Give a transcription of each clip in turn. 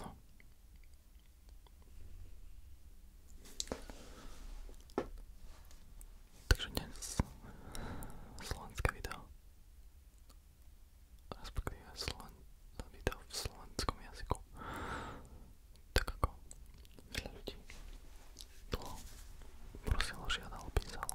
No. Takže dnes slovenské video. Respektíve sloven... video v slovenskom jazyku. Tak ako veľa ľudí dlho prosilo, žiadalo, písalo.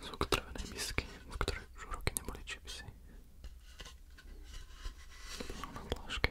z otrvenej misky, v ktorej už roky neboli čipsy. Bolo na dláške.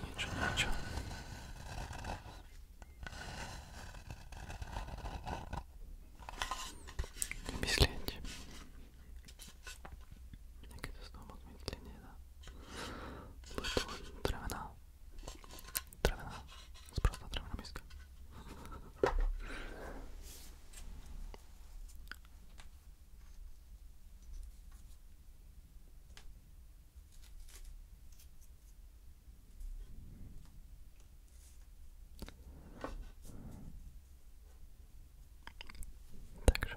Ничего, ничего. Не бесленьте. Как это снова медленнее, да? Bude to len drevená, drevená, sprostá drevená miska. Takže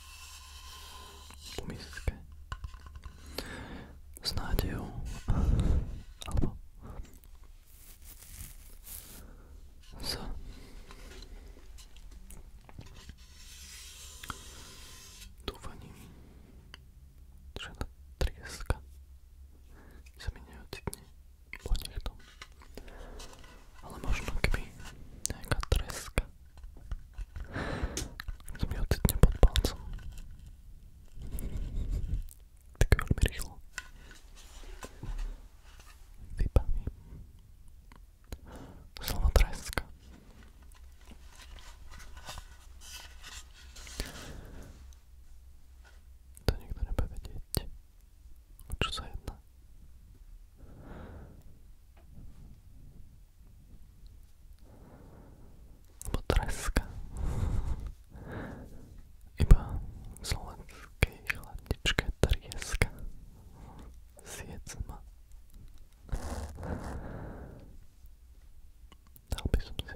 po miske s nádejou alebo s dúfaním, že tá trieska sa mi neocitne po nechtom. Ale možno keby nejaká treska to mi ocitne pod palcom. Tak veľmi rýchlo. Vybaví. Slovo treska. To nikto nebude vedieť, o čo sa jedná alebo treska iba v slovenskej chladničke trieska siecma dal by som si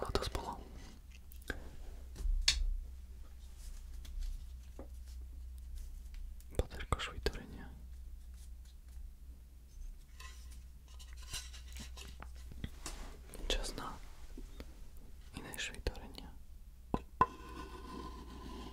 Ale to spolo. Baterko švitorenia. Čas na iné švitorenia.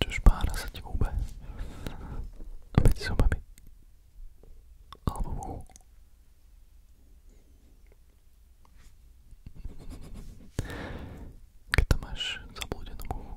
Čiže pára sa ti húbe. Medzi zubami. Alebo v uhu. Keď tam máš zablúdenú uhu.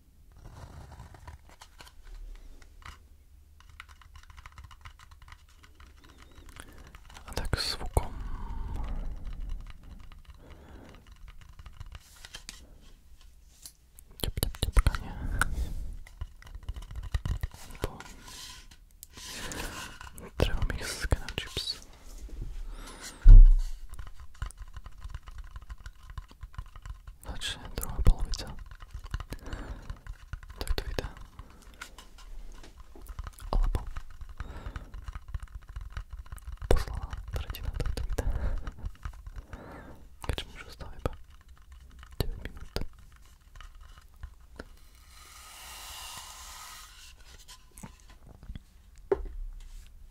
A tak zvukom. Tep, tep, tepkanie. Bo treba mixka na chips. Znači, druhá polovica takto videa. Alebo posledná tretina takto videa. Keďže mu už ostáva iba 9 minút.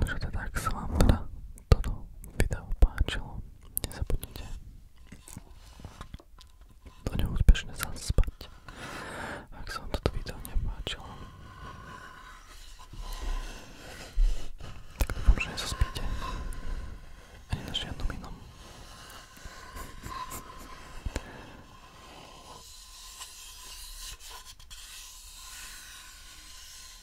Takže teda, ak sa vám teda toto video páčilo, nezabudnite do neho úspešne zaspať. Ak sa vám toto video nepáčilo, tak dúfam, že nezaspíte ani na žiadnom inom.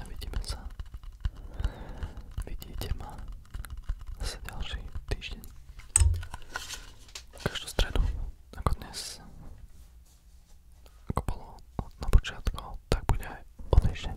A vidíme sa. Vidíte ma zase ďalší týždeň. Každú stredu, ako dnes, ako bolo na počiatku, tak bude aj o týždeň.